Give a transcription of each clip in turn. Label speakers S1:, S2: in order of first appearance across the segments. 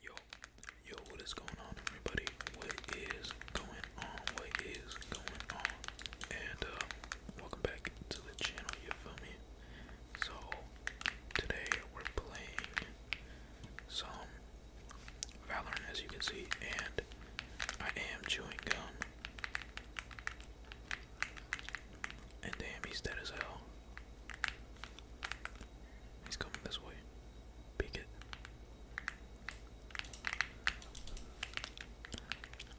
S1: Yo, yo, what is going on, everybody? What is going on? What is going on? And uh, welcome back to the channel, you feel me? So, today we're playing some Valorant, as you can see, and I am chewing gum. And damn, he's dead as hell. He's coming this way. Peek it.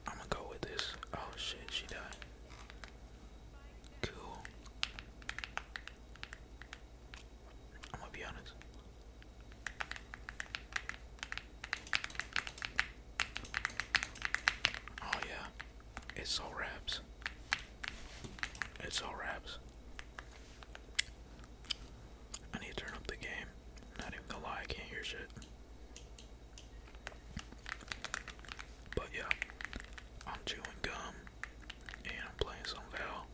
S1: I'ma go with this. Oh shit, she died. Cool. I'm gonna be honest. Oh yeah, it's all wraps. It's all wraps. I need to turn up the game. Not even gonna lie, I can't hear shit. But yeah, I'm chewing gum and I'm playing some Val.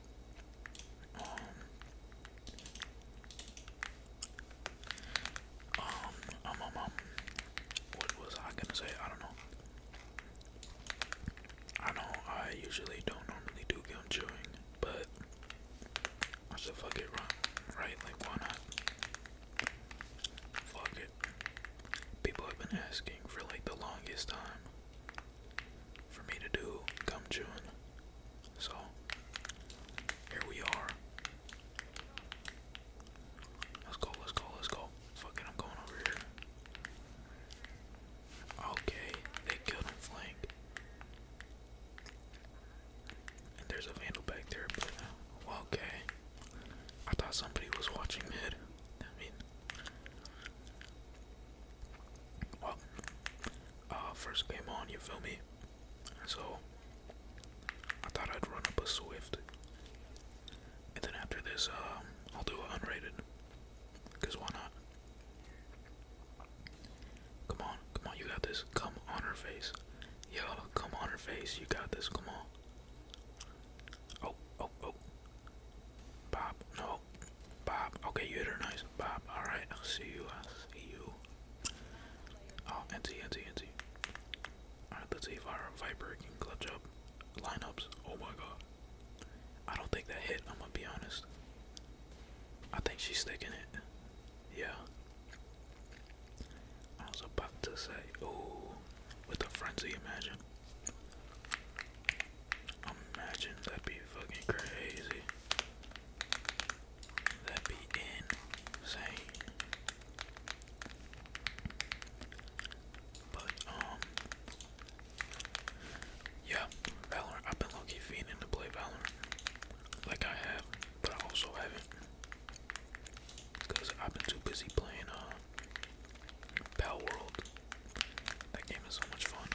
S1: Um, um, um, um, um what was I gonna say? I don't know. I know I usually don't normally do gum chewing, but I said fuck it, right? Like, why not? Fuck it. People have been asking for like the longest time for me to do gum chewing. So, here we are. Let's go, let's go, let's go. Fuck it, I'm going over here. Okay, they killed him flank. And there's a vandal back there, but uh, okay. I thought somebody was watching mid. I mean, well, uh, first came on, you feel me? So, I thought I'd run up a Swift. And then after this, um, I'll do an unrated. Because why not? Come on, come on, you got this. Come on her face. Yo, come on her face. You got this. Come on. Oh, oh, oh. Bob, no. Bob. Okay, you hit her nice. Bob, alright. I'll see you. I'll see you. Oh, anti, anti, anti. Alright, let's see if our Viper can clutch up lineups. Oh my god. I don't think that hit, I'm gonna be honest. I think she's sticking it. Yeah. I was about to say, ooh, with a frenzy, imagine. Imagine that'd be fucking crazy. That'd be insane. But um yeah, Valorant. I've been low key fiending to play Valorant. Like I have, but I also haven't. Because I've been too busy playing uh, Pal World. That game is so much fun.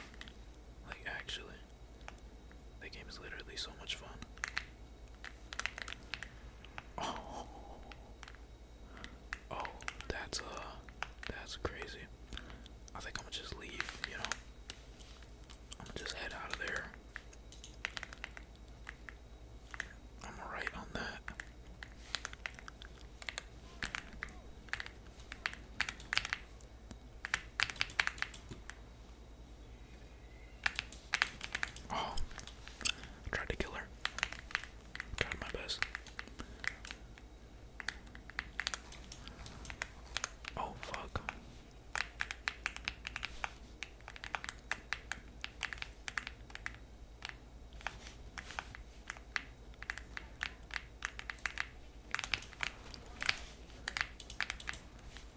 S1: Like, actually. That game is literally so much fun. Oh. Oh, that's uh, that's crazy. I think I'm gonna just leave, you know. I'm gonna just head out of there. I'm alright on that. Oh, tried to kill her. tried my best. Oh, fuck.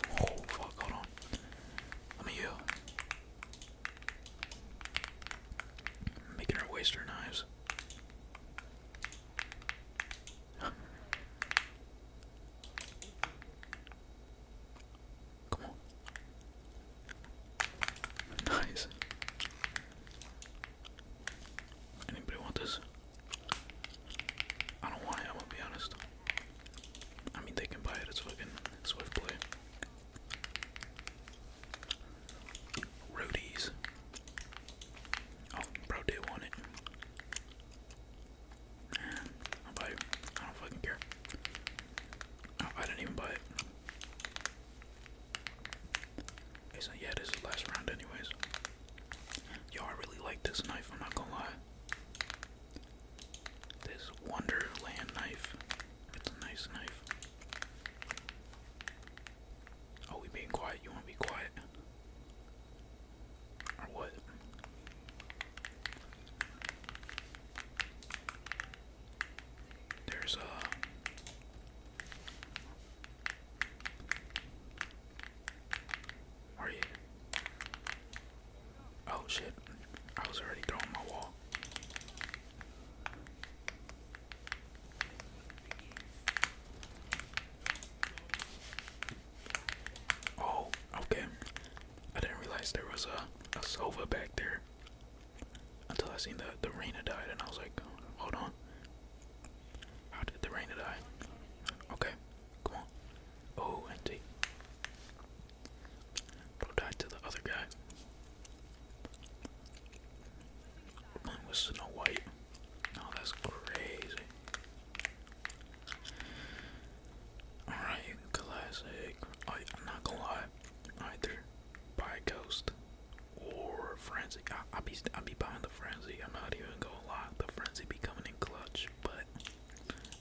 S1: Oh fuck, hold on. Let me heal. Making her waste her knives. Come on. Nice. Anybody want this? I don't want it, I'm gonna be honest. I mean, they can buy it, it's fucking Swift Play. Roadies. Oh, bro do want it. i buy it. I don't fucking care. Oh, I didn't even buy it. It's not, yeah, this is the last round anyways. Yo, I really like this knife, I'm not gonna lie. This Wonderland knife. It's a nice knife. Oh, we being quiet. You want to be quiet? Or what? There's a. Uh, are you? Oh shit! I was already throwing my wall. Oh, okay. I didn't realize there was a, a Sova back there until I seen the, the Reina died, and I was like, hold on. How did the Reina die? Okay, come on. Oh, and T. Go die to the other guy. Mine was Snow White. Oh, that's crazy. Alright, classic. Oh, I, am not gonna lie. Either by Ghost or Frenzy. I, will be I'll be buying the Frenzy. I'm not even gonna lie. The Frenzy be coming in clutch, but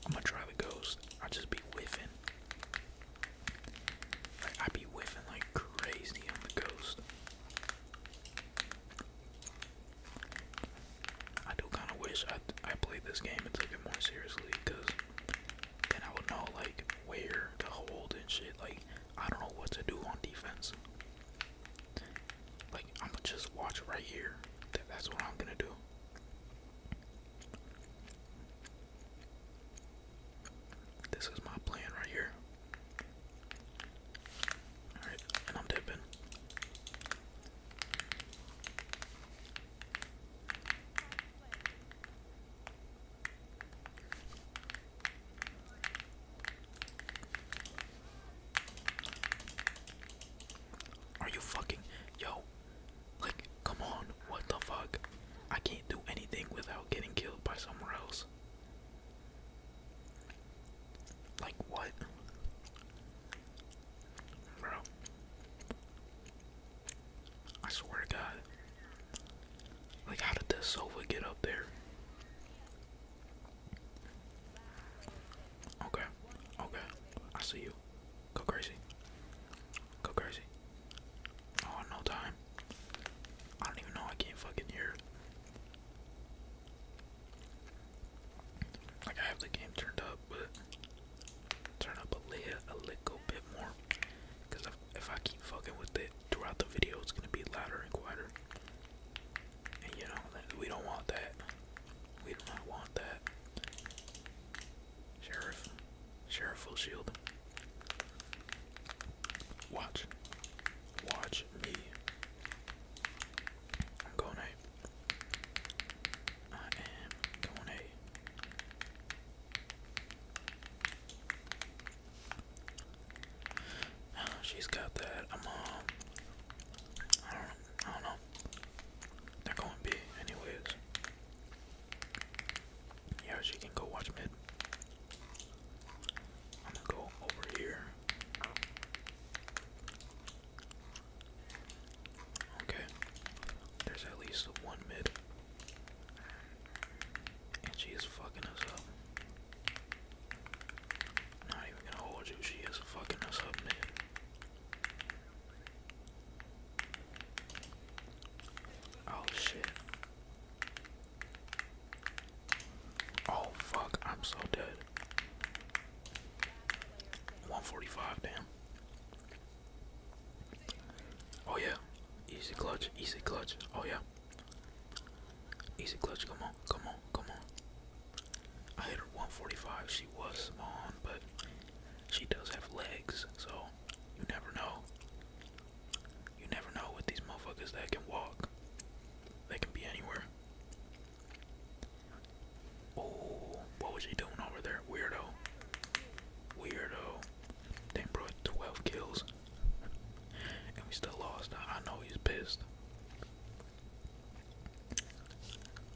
S1: I'm gonna try the Ghost. i just be whiffing. I be whiffing like crazy on the Ghost. I do kind of wish I I played this game and took it more seriously, cause then I would know like where to hold and shit. Like I don't know what to do on defense. Like I'ma just watch right here. that's what I'm gonna do. This is my plan right here. Alright, and I'm dipping. Are you fucking yo? Like, come on, what the fuck? I can't do anything without getting killed by somewhere else. Like what? Bro. I swear to God. Like how did this sofa get up there? Okay. Okay. I see you. Go crazy. Go crazy. Oh, no time. I don't even know I can't fucking hear. Like I have the game turned up, but turn up a little, a little bit more, because if, if I keep fucking with it throughout the video, it's gonna be louder and quieter. And you know we don't want that. We do not want that. Sheriff, sheriff full shield. Watch. Watch me. I'm going A. I am going she's got that. I'm um, I don't, I don't know. They're going B, anyways. Yeah, she can go watch mid go over here. Okay, there's at least one mid, and she is fucking us up. Not even gonna hold you, she is fucking us up, mid. Oh shit. Oh fuck, I'm so dead. 145, damn. Oh yeah. Easy clutch, easy clutch. Oh yeah. Easy clutch, come on, come on, come on. I hit her 145. She was small, but she does have legs, so you never know. You never know with these motherfuckers that can walk. They can be anywhere. Oh, what was he doing over there? Weirdo. Weirdo. They brought 12 kills. And we still lost. I know he's pissed.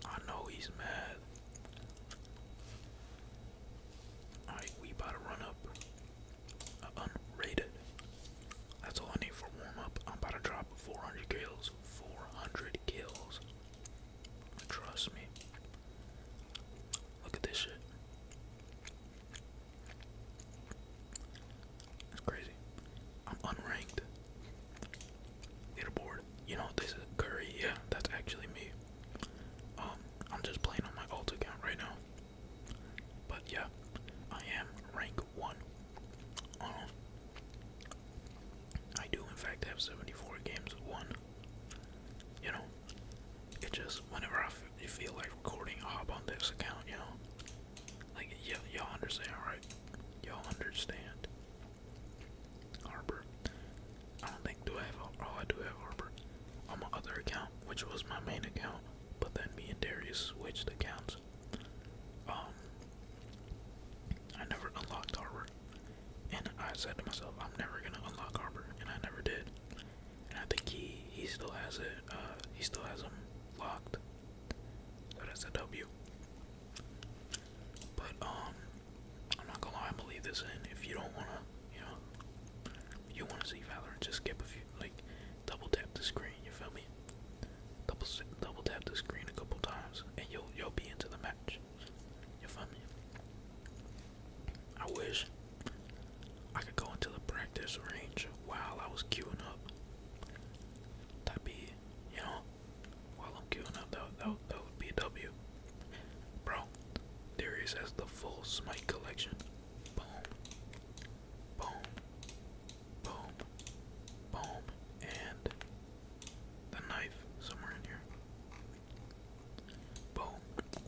S1: I know he's mad. Alright, we about to run up unrated. That's all I need for warm up. I'm about to drop 400 kills. 400 kills. Trust me. Look at this shit. That's crazy. I'm unranked. Leaderboard. You know this is Curry. Yeah, that's actually me. Um, I'm just playing on my alt account right now. But yeah, I am rank one. Um, I do in fact have 74 games won. You know, it just whenever I feel like recording, a hop on this account. You know, like y'all understand, right? Y'all understand. Harbor. I don't think do I have all oh, I do have Harbor on my other account, which was my main account but then me and Darius switched accounts. Um, I never unlocked Harbor, and I said to myself, I'm never gonna unlock Harbor, and I never did. And I think he he still has it. Uh, he still has him locked. that's a W. But um, I'm not gonna lie. I'm this in. If you don't wanna, you know, you wanna see Valorant, just skip a few. Like, double tap the screen, you feel me? Double double tap the screen a couple times and you'll you'll be into the match. You feel me? I wish I could go into the practice range while I was queuing up. That'd be, you know, while I'm queuing up, that, that, that would be a W. Bro, Darius has the full Smite collection boom, boom, boom, boom, and the knife somewhere in here. Boom,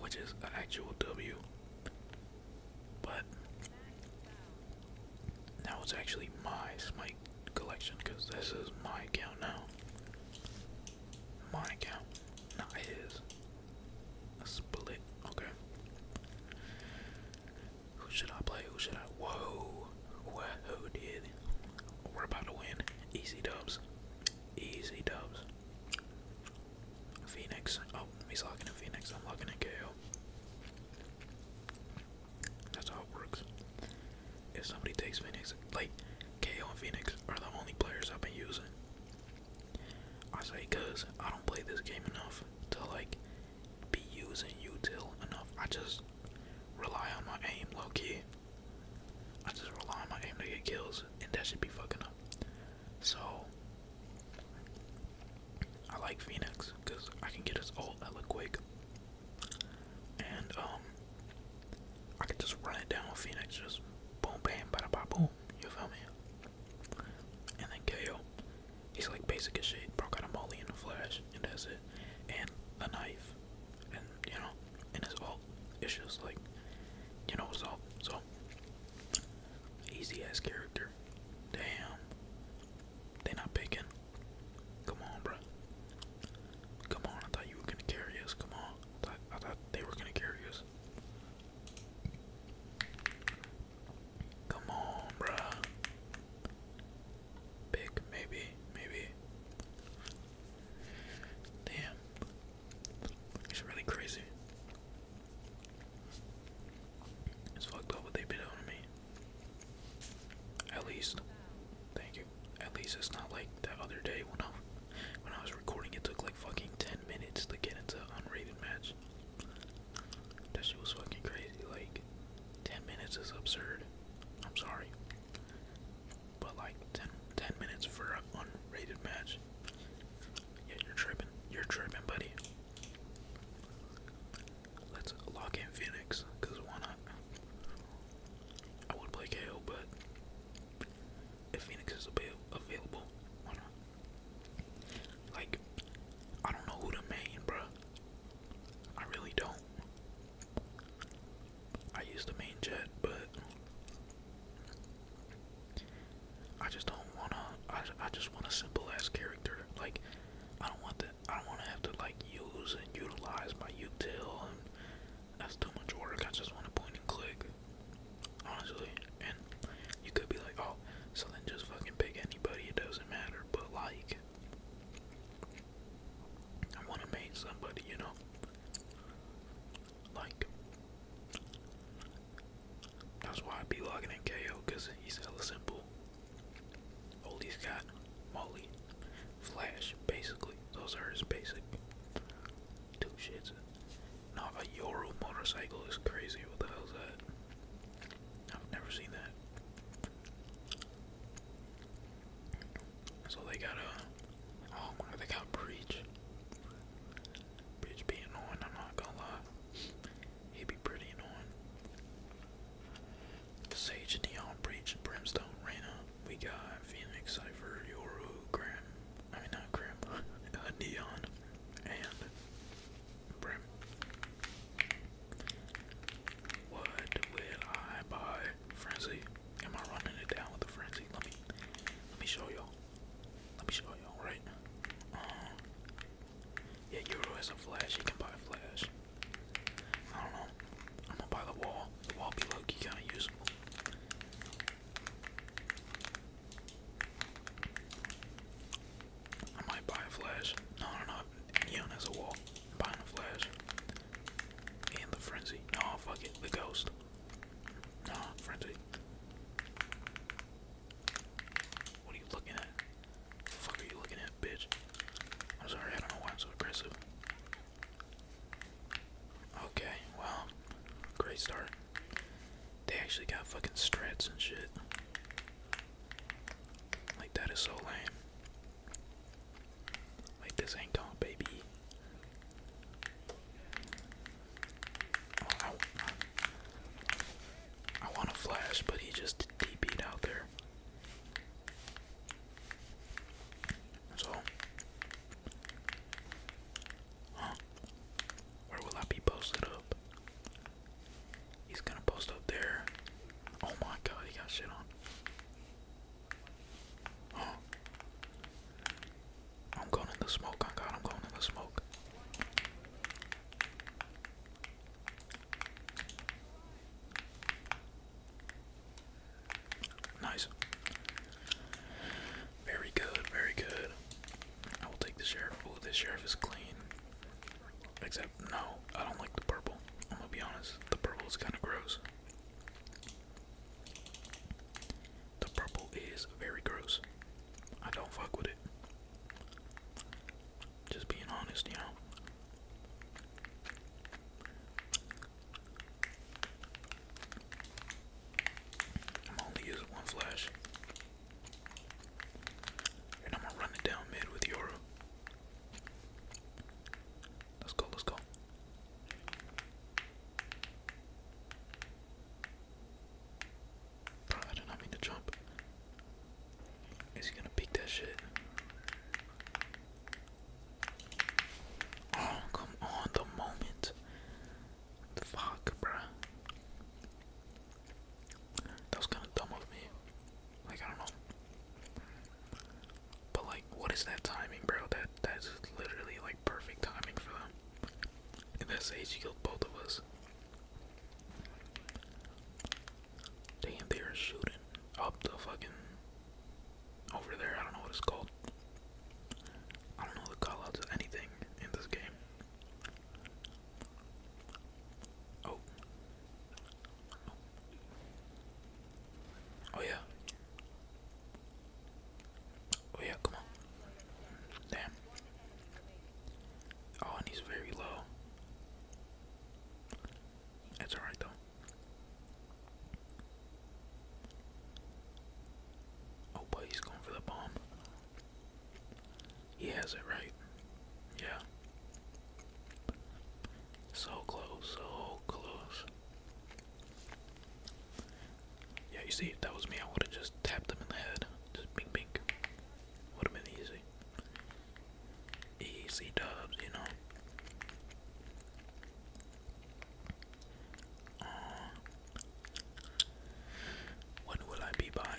S1: which is an actual W, but now it's actually my Smite collection because this is my account now. My account, not his. split, okay. Who should I play? Who should I? Whoa. Whoa, did. We're about to win. Easy dubs. Easy dubs. Phoenix. Oh, he's locking in Phoenix. I'm locking in KO. That's how it works. If somebody takes Phoenix, like KO and Phoenix are the only players I've been using. I say cause I don't play this game enough to like be using util enough. I just rely on my aim low key. I just rely on my aim to get kills and that should be fucking up. So I like Phoenix because I can get us all hella quick. And um I could just run it down with Phoenix, just boom bam bada ba boom, you feel me? And then KO. He's like basic as shit. Broke out a molly in a flash, and that's it. And a knife. And, you know, and his ult. It's just like, you know, it's all So, easy ass character. Damn. They not picking. Come on, bro. Come on, I thought you were gonna carry us. Come on. I thought, I thought they were gonna carry us. Come on, bruh. Big, maybe, maybe. Damn. It's really crazy. It's fucked up what they've to me. At least, thank you. At least it's not like that other day when I, when I was recording. It took like fucking ten minutes to get into unrated match. That shit was fucking crazy. Like, 10 minutes is absurd. I'm sorry. But, like, 10, minutes for an unrated match. Yeah, you're tripping. You're tripping, buddy. Let's lock in Phoenix, because why not? I would play KO, but if Phoenix is available, why not? Like, I don't know who to main, bro. I really don't. I use the main jet, but I just don't wanna. I I just want a simple ass character. Like, I don't want that. I don't want to have to like use and utilize my util, and that's too much work. I just want to point and click. Honestly and you could be like, oh, so then just fucking pick anybody, it doesn't matter, but like, I want to make somebody, you know, like, that's why I would be logging in KO, because he's hella simple, all he's got, Molly, Flash, basically, those are his basic two shits. Now a Euro motorcycle is crazy, what the hell's that? I've never seen that. So they got a, oh my god, they got Breach. Breach be annoying, I'm not gonna lie. He'd be pretty annoying. Sage, Neon, Breach, Brimstone, Reyna. We got Phoenix, Cypher, Yoru, Grim. I mean, not Grim, uh, Neon, and what will I buy? Frenzy. Am I running it down with the frenzy? Let me let me show y'all. Let me show y'all, right? Um, yeah, Euro has a flash, He can buy a flash. I don't know. I'm gonna buy the wall. The wall be low key kinda useful. I might buy a flash. No, no, Neon has a wall. i a flash. And the frenzy. No, fuck it. The ghost. No, frenzy. What are you looking at? The fuck are you looking at, bitch? I'm sorry, I don't know why I'm so aggressive. Okay, well, great start. They actually got fucking strats and shit. Like that is so lame. Like this ain't gone, baby. Oh, I, want to flash, but he just dp out there. So, Where will I be posted up? He's gonna post up there. Oh my god, he got shit on. I'm going in the smoke, oh god, I'm going in the smoke. Nice. Very good, very good. I will take the sheriff. Oh, the sheriff is clean. Except, no, I don't like the purple. I'm gonna be honest, the purple is kind of gross. The purple is very gross. I don't fuck with it. Just being honest, you know. I'm only using one flash. And I'm gonna run it down mid with Yoru. Let's go, let's go. Bro, I did not mean to jump. Is he gonna peek that shit? Oh, come on, the moment. Fuck, bruh. That was kind of dumb of me. Like, I don't know. But, like, what is that timing, bro? That That's literally, like, perfect timing for them. In that stage, he killed both of us. Damn, they are shooting up the fucking. Over there, I don't know what it's called. I don't know the callouts of anything in this game. Oh. Oh, yeah. Oh yeah, come on. Damn. Oh, and he's very low. It's alright though. Oh, but he's going for the bomb. He has it right. Yeah. So close, so close. Yeah, you see, if that was me, I would have just tapped him in the head. Just bing bing. Would have been easy. Easy dubs, you know. Um, uh, when will I be buying?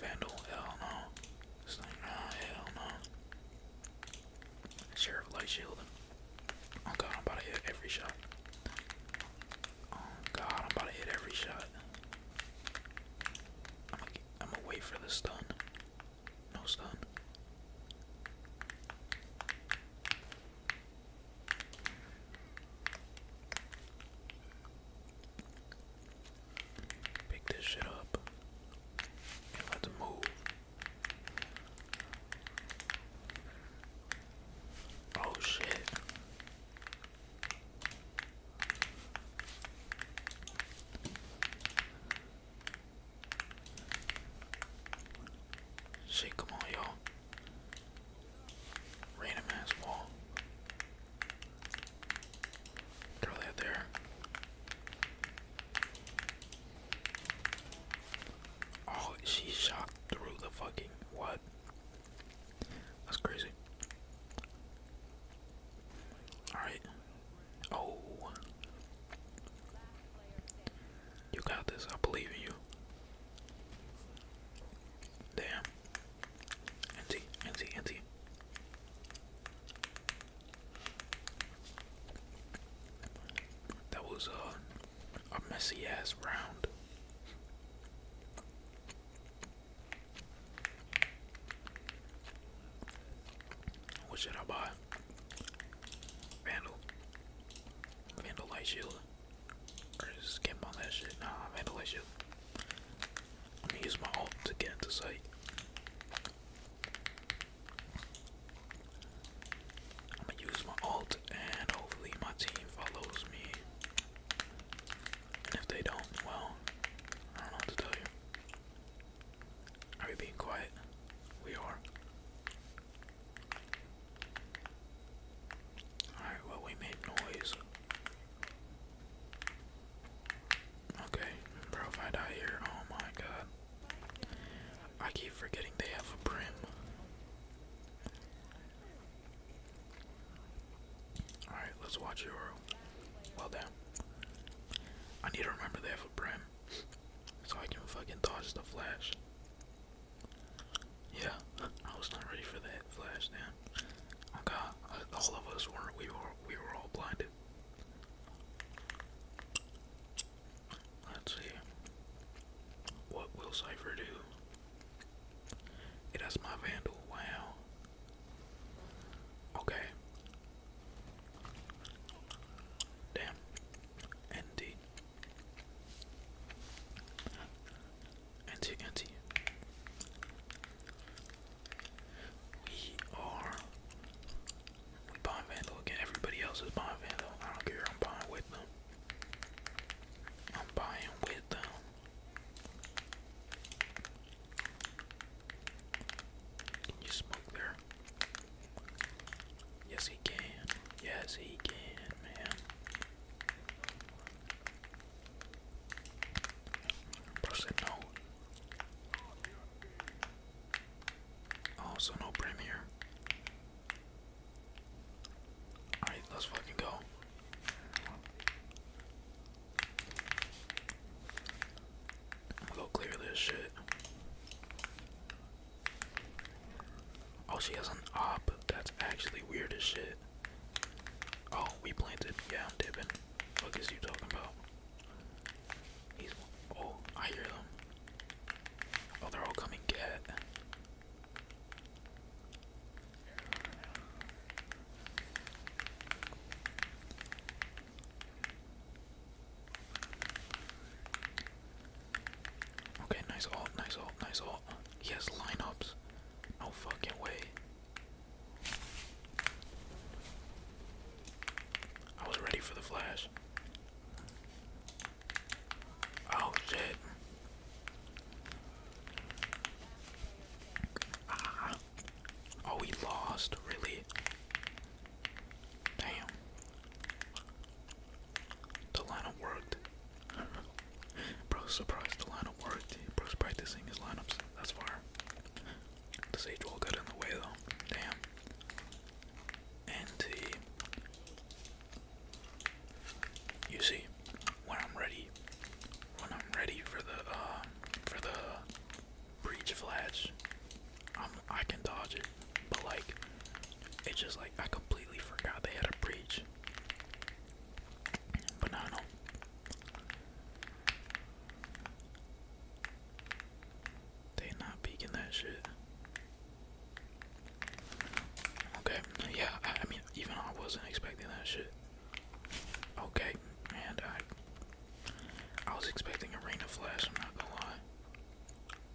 S1: Vandal, hell no. Sheriff Light Shield. Oh god, I'm about to hit every shot. Oh god, I'm about to hit every shot. I'm going I'm gonna wait for the stun. No stun. Pick this shit up. let's move. Oh shit. Shit, come on, you Random ass wall. Throw that there. Oh, she shot through the fucking what? That's crazy. Alright. Oh. You got this. I believe in you. Damn. Anti, anti, anti. That was uh, a messy ass round. What should I buy? Vandal. Vandal Light Shield. just skimp on that shit. Nah, Vandal Light Shield. I'm use my alt to get into sight. I'm use my alt and hopefully my team follows me. And if they don't, well, I don't know what to tell you. Are we being quiet? We are. Alright, well, we made noise. Okay, bro, if I die here, oh my god. I keep forgetting they have a brim. Alright, let's watch Euro. Well damn. I need to remember they have a brim. So I can fucking dodge the flash. Yeah, I was not ready for that flash, damn man. all of us were we were we were all blinded. Let's see. What will Cypher do? It has my vandal, wow. Okay. Damn. ND anti, anti. We are we bomb vandal again. Everybody else is bomb vandal. I don't care. I'm buying with them. I'm buying with them. Can you smoke there? Yes, he can. Yes, he can, man. Bro said no. Oh, no brim Alright, let's fucking go. go clear this shit. Oh, she has an op. That's actually weird as shit. Oh, we planted. Yeah, I'm dipping. What is you talking about? He's. Oh, I hear them. Oh, they're all coming get. Okay, nice alt, nice alt, nice alt. He has lineups. No fucking way. I was ready for the flash. Oh shit. Ah. Oh, we lost, really? Damn. The lineup worked. Bro's surprised the lineup worked. Bro's practicing his lineups That's far. This Sage Wall got in the way though. Damn. And uh, you see, when I'm ready, when I'm ready for the uh, for the breach flash, i can dodge it. But like, it's just like I completely forgot they had a breach. But they not peeking that shit. Okay, yeah, I, mean, even I wasn't expecting that shit. Okay, and I, I was expecting a rain of flash, I'm not gonna lie.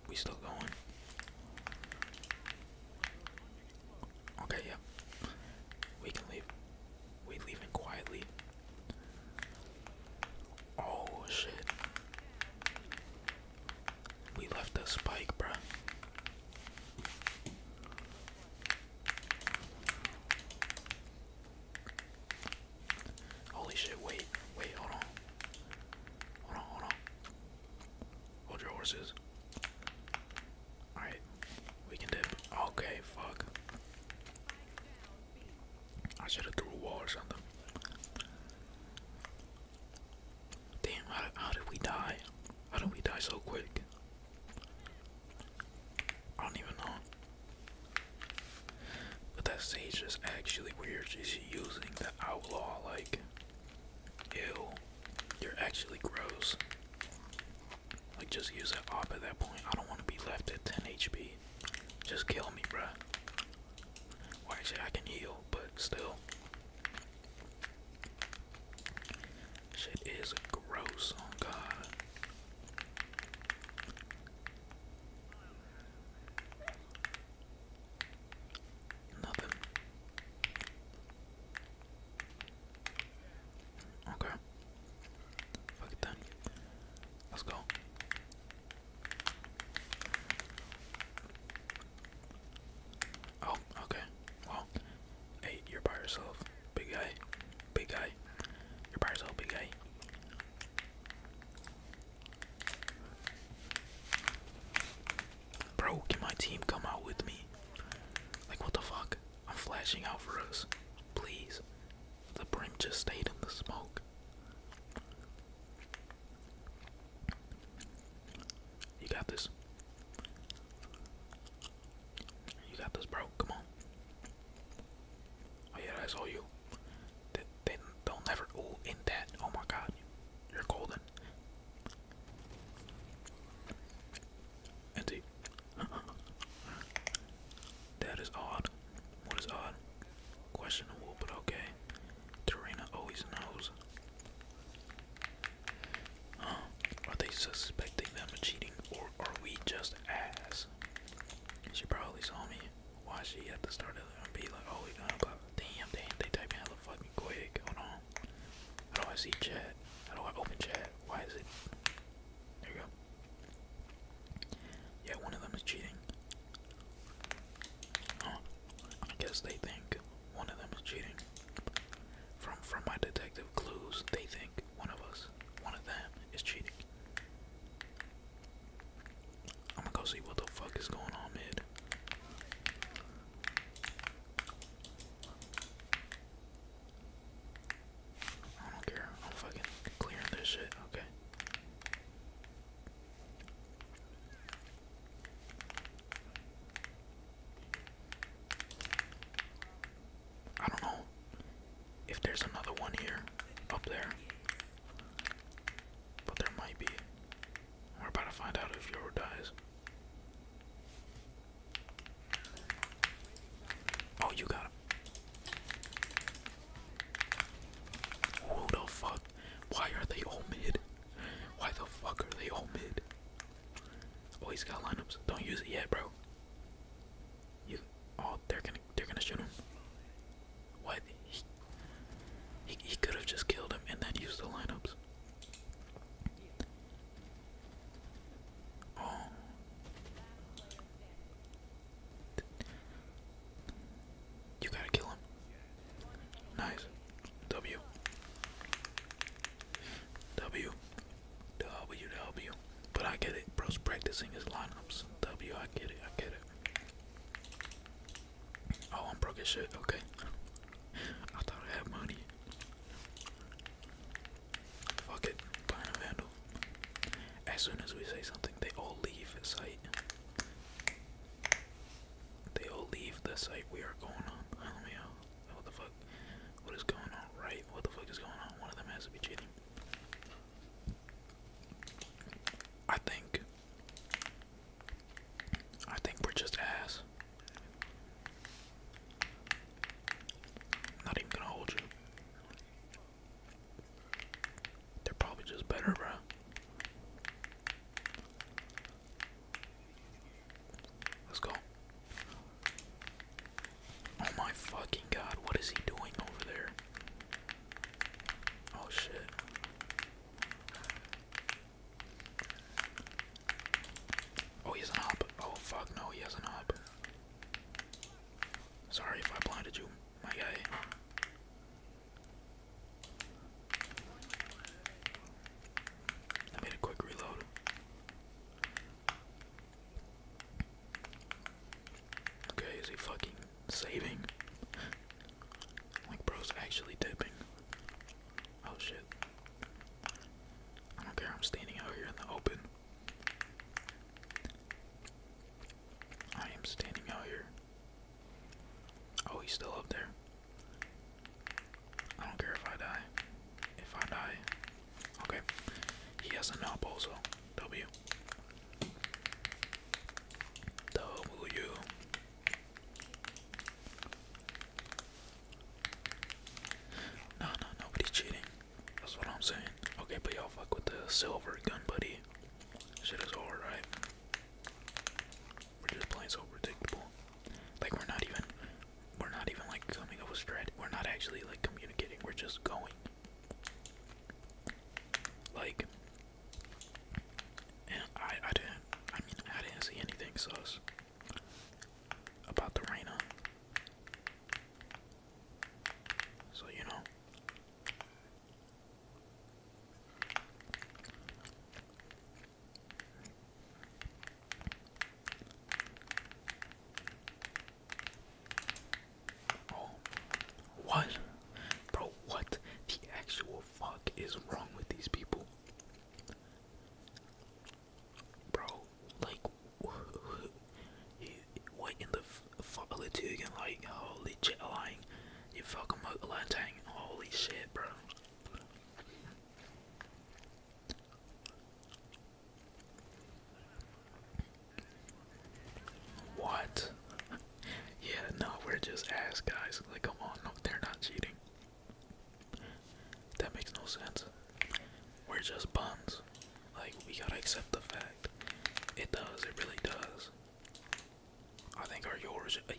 S1: We still going. Okay, yep. Yeah. We can leave. We leaving quietly. Oh shit. We left the spike, bruh. Holy shit, wait, wait, hold on. Hold on, hold on. Hold your horses. Alright, we can dip. Okay, fuck. I should have threw a wall or something. Damn, how, how did we die? How did we die so quick? I don't even know. But that sage is actually weird. She's using the outlaw like, ew, you're actually gross. Like just use that op at that point. I don't want to be left at 10 HP. Just kill me, bro. Well, I can heal, but still. Shit is gross. Oh God. Nothing. Okay. Fuck it then. Let's go. Oh, okay. Well, hey, you're by yourself. Big guy. Big guy. You're by yourself, big guy. Bro, can my team come out with me? Like, what the fuck? I'm flashing out for us. Please. The brim just stayed in the smoke. You got this. You got this, bro. Come on. Oh yeah, that's all you. They, they do never. Oh, in that. Oh my God, you're golden. Empty. that is odd. What is odd? Questionable, but okay. Tarina always knows. Huh? Are they suspecting them of cheating, or are we just ass? She probably saw me. Why she had to start it and be like, oh, we done, blah, damn, damn, they type in hella fucking quick. Hold on. How do I see chat? I do not I open chat? Why is it? There we go. Yeah, one of them is cheating. Oh, I guess they think one of them is cheating. From from my detective clues, they think one of us, one of them, is cheating. I'm gonna go see what the fuck is going on mid. I don't care. I'm fucking clearing this shit. Okay. I don't know if there's another one here up there, but there might be. We're about to find out if Yoro dies. Oh, you got him. Who the fuck? Why are they all mid? Why the fuck are they all mid? Oh, he's got lineups. Don't use it yet, bro. You. Oh, they're gonna. They're gonna shoot him. What? He. He, he could have just killed him and then used the lineups. Um, you gotta kill him. Nice. W. W. W. W. But I get it. Bro's practicing his lineups. W. I get it. I get it. Oh, I'm broke as shit. Okay. I thought I had money. Fuck it, Burn a As soon as we say something, they all leave the site. They all leave the site we are going on. What the fuck? What is going on? Right? What the fuck is going on? One of them has to be cheating. I think. I think we're just ass. Not even gonna hold you. They're probably just better, bro. Let's go. Oh my fucking god, what is he doing over there? Oh shit. Oh, he has an up. Oh fuck, no, he has an up. Sorry if I blinded you, my guy. I made a quick reload. Okay, is he fucking saving? like, bro's actually dipping. Oh shit. I don't care, I'm standing out here in the open. I am standing out here. Oh, he's still up there. I don't care if I die. If I die. Okay. He has a knob also. W. W. No, no, nobody's cheating. That's what I'm saying. Okay, but y'all fuck with the silver gun buddy. Shit is right? We're just playing so predictable. Like we're not even we're not even like coming up with strat we're not actually like communicating, we're just going. Like and I I didn't I mean I didn't see anything sus about the Reina. So, you know. what? Bro, what the actual fuck is wrong with these people? Bro, like, what in the fuck are you again? Like, holy shit, lying. You fucking motorlighting. Holy shit, bro. What? yeah, no, we're just ass guys. Like, come on, no, they're not cheating. That makes no sense. We're just bums. Like, we gotta accept the fact. It does, it really does. I think our yours. Uh,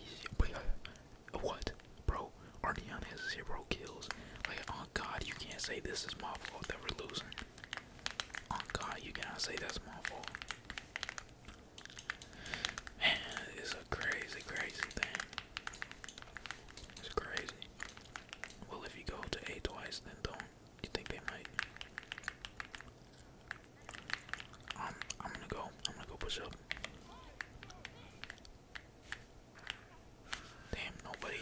S1: uh, what? Bro, Ardeon has zero kills. Like, oh god, you can't say this is my fault that we're losing. Oh god, you cannot say that's my fault. Man, it's a crazy, crazy thing. It's crazy. Well, if you go to A twice, then don't. You think they might? I'm. Um, I'm gonna go. I'm gonna go push up. Damn, nobody.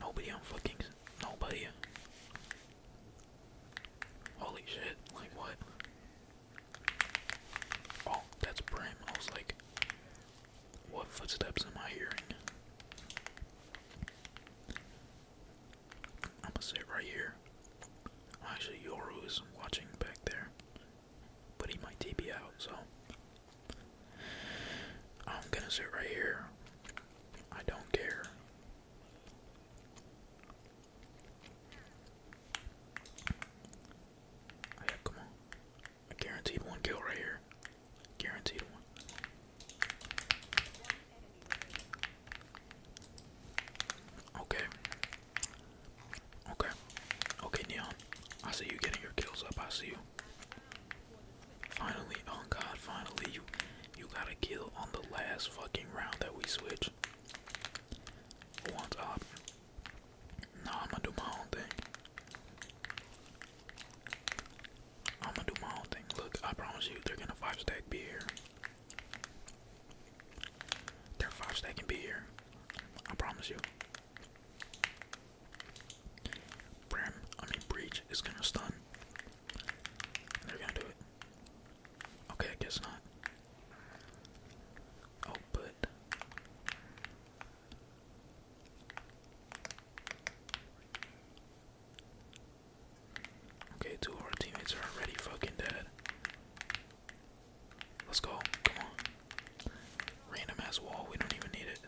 S1: Nobody on fucking. Nobody. Holy shit! Like what? Oh, that's Brim. I was like, what footsteps am I hearing? I'm gonna sit right here. Actually, Yoru is watching back there, putting my might out, so I'm gonna sit right here. I don't care. come on. A guaranteed one kill right here. Guaranteed one. Okay. Okay. Okay, Neon. I see you getting your kills up. I see you. Finally, oh god, finally you you got a kill on the last fucking round that we switch. One up. Nah, I'm gonna do my own thing. I'm gonna do my own thing. Look, I promise you, they're gonna five stack beer. They're five stacking beer. I promise you. Bram, I mean breach is gonna stun. they're gonna do it. Okay, I guess not. Oh, but Okay, two of our teammates are already fucking dead. Let's go. Come on. Random ass wall. We don't even need it.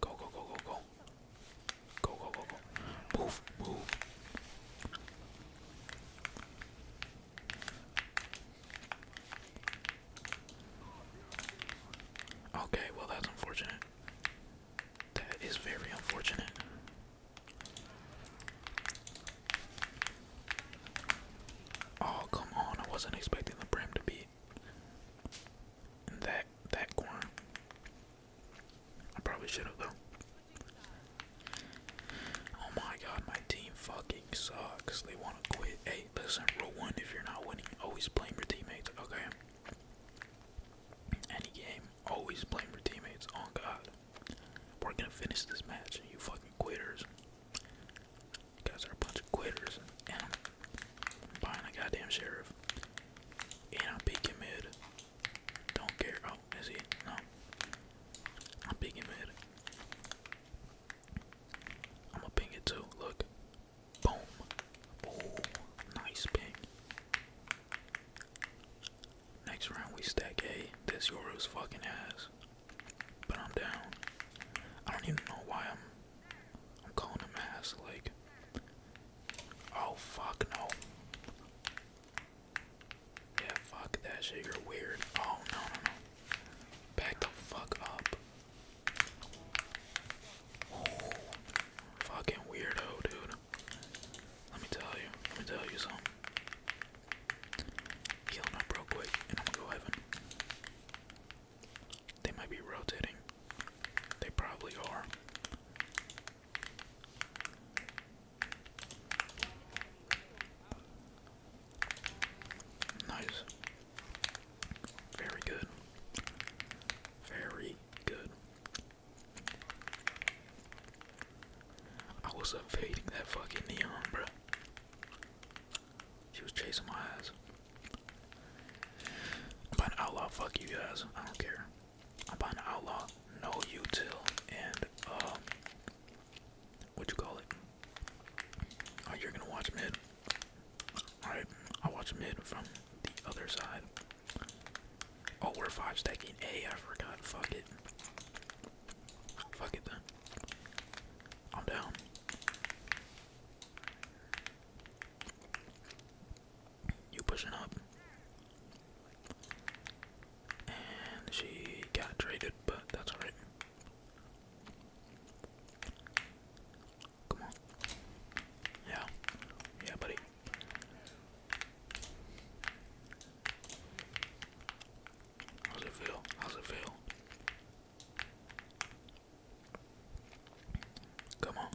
S1: Go, go, go, go, go. Go, go, go, Move, move. Okay, well, that's unfortunate. That is very unfortunate. Oh, come on. I wasn't expecting the brim to beat. that that corner. I probably should have though. Oh my god, my team fucking sucks. They wanna quit. Hey, listen, rule one, if you're not winning, always blame your teammates, okay? Any game, always blame your teammates, oh, God. We're gonna finish this match, you fucking quitters. guys are a bunch of quitters, and I'm buying a goddamn sheriff. And I'm picking mid. Don't care. Oh, is he? No. I'm picking mid. I'm gonna ping it too. Look, Boom. Oh, nice ping. Next round we stack A. This Yoru's fucking ass. But I'm down. I don't even know why I'm I'm calling him ass like Oh fuck no. Yeah, fuck that shit, you're weird. Oh no no no. Back the fuck up fucking weirdo, dude. Let me tell you. Let me tell you something. Heal him up quick, and I'm gonna go heaven. They might be rotating. They probably are. Nice. Very good. Very good. I was evading that fucking neon, bro. She was chasing my ass. I'm buying outlaw, fuck you guys. I don't care. I'm buying outlaw, no util, and uh, what you call it? Oh, you're gonna watch mid. Alright, I'll watch them hit from the other side. Oh, we're five stacking A. I forgot. Fuck it. Fuck it then. I'm down. You pushing up. And she got traded, but that's alright. Come on. Yeah. Yeah, buddy. How's it feel? How's it feel? Come on.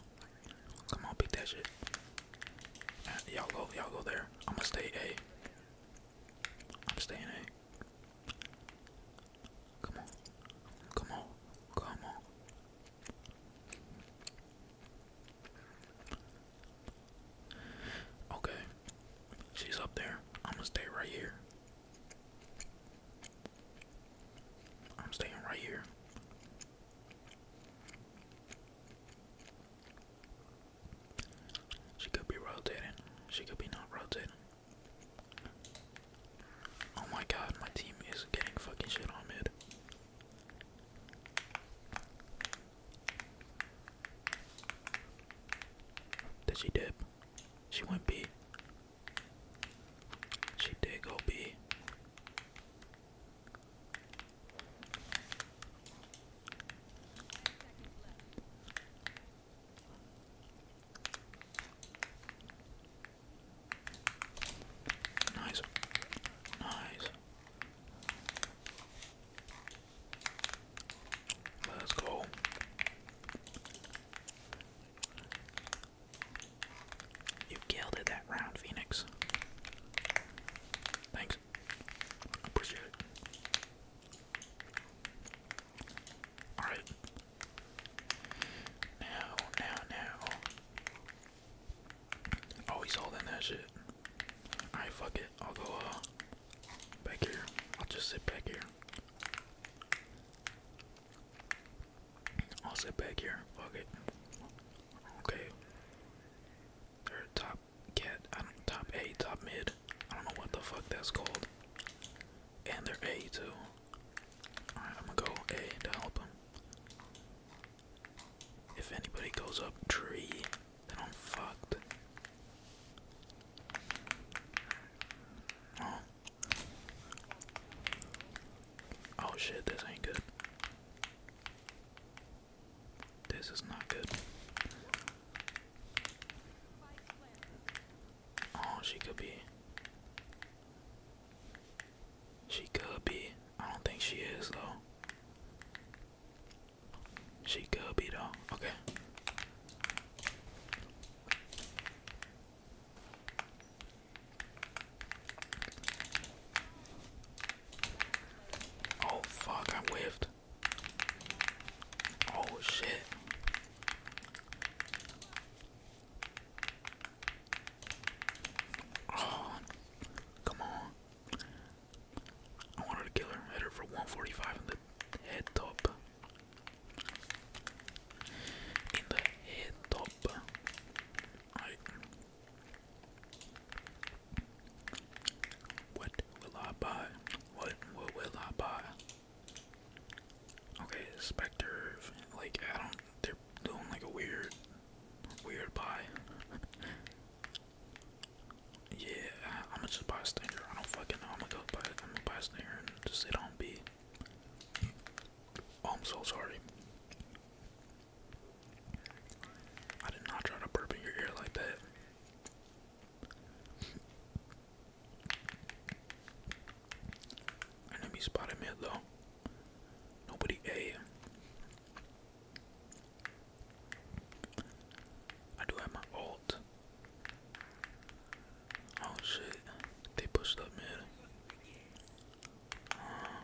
S1: Come on, beat that shit. Uh, y'all go, y'all go there. I'ma stay A. I'm A. Come on. Come on. Come on. Okay. She's up there. I'm gonna stay right here. I'm staying right here. She could be rotating. She could be not rotating. Oh my god, my team is getting fucking shit on mid. Did she dip? She went B. She did go B. Nice. Nice. Let's go. You killed it that round, Phoenix. Thanks. Appreciate it. Alright, now, now, now. Oh, he's holding that shit. Alright, fuck it. I'll go uh, back here. I'll just sit back here. I'll sit back here. Fuck it. Okay. They're top cat. I don't top A, top mid. I don't know what the fuck that's called. And they're A too. Alright, I'm gonna go A to help him. If anybody goes up tree, then I'm fucked. Oh, oh shit, this ain't good. This is not good. Oh, she could be. She could be. I don't think she is though. She could be though. Okay. Oh fuck, I'm whiffed. Oh shit. Oh, come on. I wanted to kill her. Hit for 145 in the head top. In the head top. What will I buy? What, what will I buy? Okay, Spectre, like, I don't, they're doing like a weird, weird buy. yeah, I'm gonna just buy a stinger. I don't fucking know. I'm gonna go buy, I'm gonna buy a stinger and just sit on B. am oh, so sorry. I did not try to burp in your ear like that. Enemy spotted mid though. Nobody A. I do have my alt. Oh shit. They pushed up mid. Uh,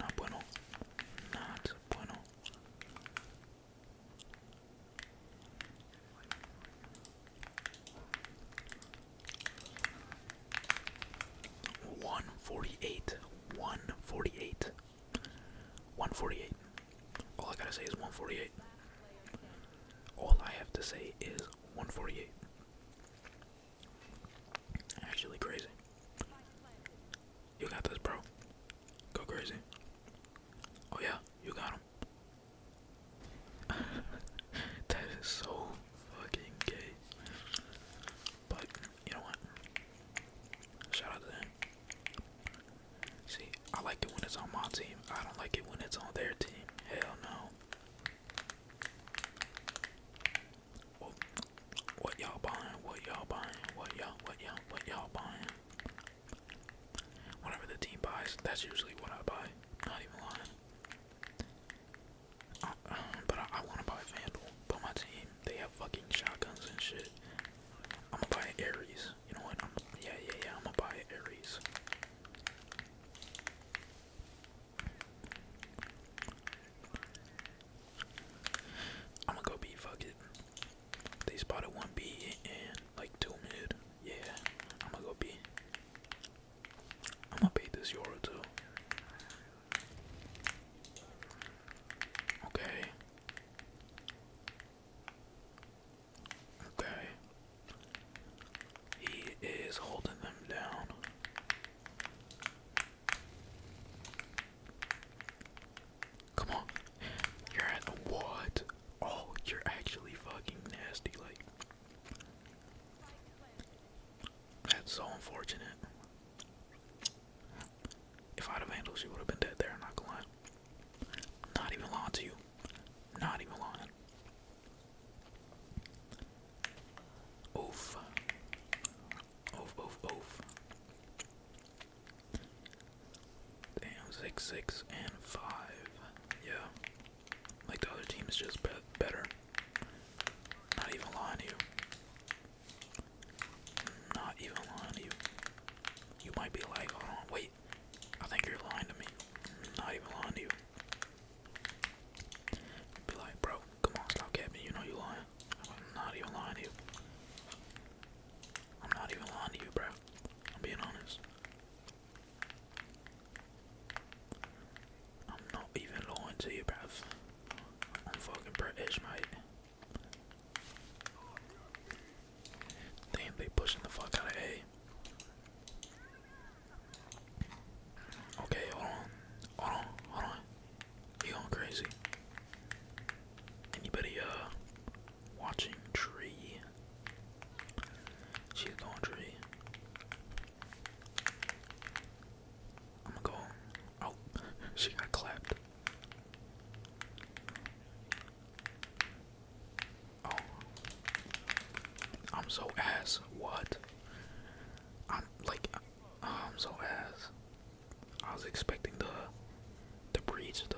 S1: not bueno. Not bueno. One forty eight. One forty eight. One forty eight. All I gotta say is one forty eight. All I have to say is one forty eight. Actually crazy. You got this, bro. Go crazy. Oh yeah, you got him. that is so fucking gay. But you know what? Shout out to them. See, I like it when it's on my team. I don't like it when it's on their team. Hell no. what y'all buying? What y'all buying? What y'all? What y'all? What y'all buying? Whenever the team buys, that's usually what I buy. Not even lying but I, want to buy Vandal, but my team, they have fucking shotguns and shit. I'm gonna buy Ares. You know what? yeah, yeah, yeah, I'm gonna buy Ares. I'm gonna go B, fuck it. They spotted one B and like two mid. Yeah, I'm gonna go B. I'm gonna pay this euro too. Okay. Okay. He is holding them down. Come on. You're at what? Oh, you're actually fucking nasty. Like, that's so unfortunate. If I'd have handled, she would have been dead there, not gonna lie. Not even lying to you. Not even lying. Oof. Oof, oof, oof. Damn, six, six, and five. Yeah. Like the other team is just better. Not even lying to you. Not even lying to you. You might be like, hold wait. I think you're lying to me. Not even lying to you. be like, bro, come on, stop capping. You know you lying. I'm not even lying to you. I'm not even lying to you, bro. I'm being honest. I'm not even lying to you, bruv. I'm fucking British, mate. Damn, they pushing the fuck out of A. Okay, hold on. Hold on, hold on. You going crazy. Anybody, uh, watching tree she had laundry. I'm gonna go. Oh, she got clapped. Oh, I'm so ass. What? I'm like, uh, I'm so ass. I was expecting the the breach to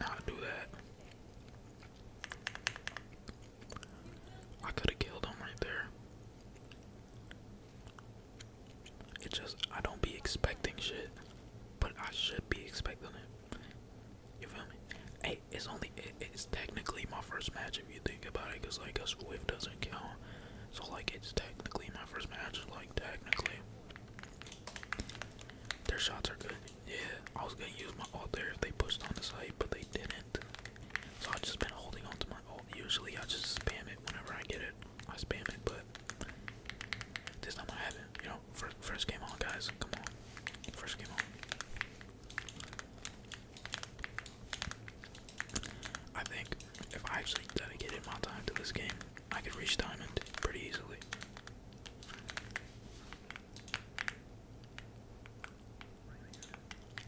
S1: not do that. I could have killed him right there. It just I don't be expecting shit, but I should be expecting it. You feel me? Hey, it's only it's technically my first match if you think about it, cause like a swift doesn't count. So like it's technically my first match. Like technically, their shots are good. Yeah, I was gonna use my ult there if they pushed on the side, but they didn't. So I've just been holding on to my ult. Usually I just spam it whenever I get it. I spam it, but this time I haven't. You know, first game on, guys. Come on. First game on. I think if I actually dedicated my time to this game, I could reach diamond pretty easily.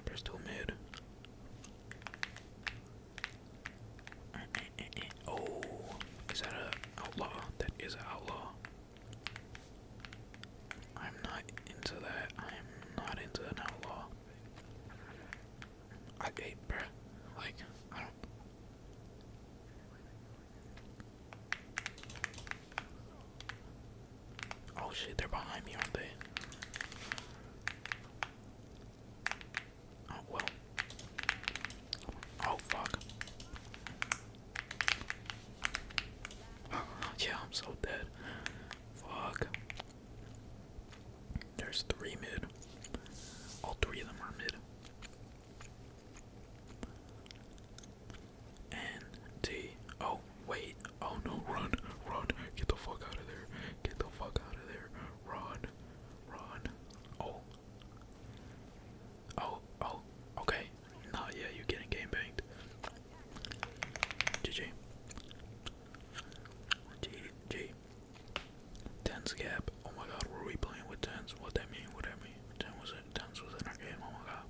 S1: There's too many. Oh, is that a outlaw? That is outlaw. I'm not into that. I'm not into an outlaw. I hate, bruh. Like, Oh shit, they're behind me, aren't they? Oh well. Oh fuck. yeah, I'm so dead. Fuck. There's three mid. All three of them are mid. N T. Oh, wait. Oh no, run, run. Get the fuck out of there. Get the fuck out of there. Run, run. Oh. Oh, oh. Okay. Nah, yeah, you're getting game banged. GG. GG. Tens gap. Oh my god, were we playing with tens? What that mean? What that mean? Ten was it? Tens was in our game. Oh my god.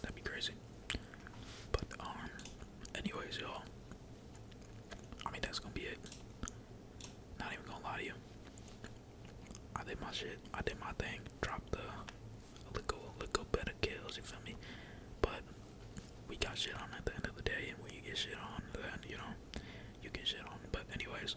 S1: That'd be crazy. But um anyways y'all I mean that's gonna be it. Not even gonna lie to you. I did my shit, I did my thing, dropped the a little a little better kills, you feel me? But we got shit on at the end of the day and when you get shit on then you know you get shit on. But anyways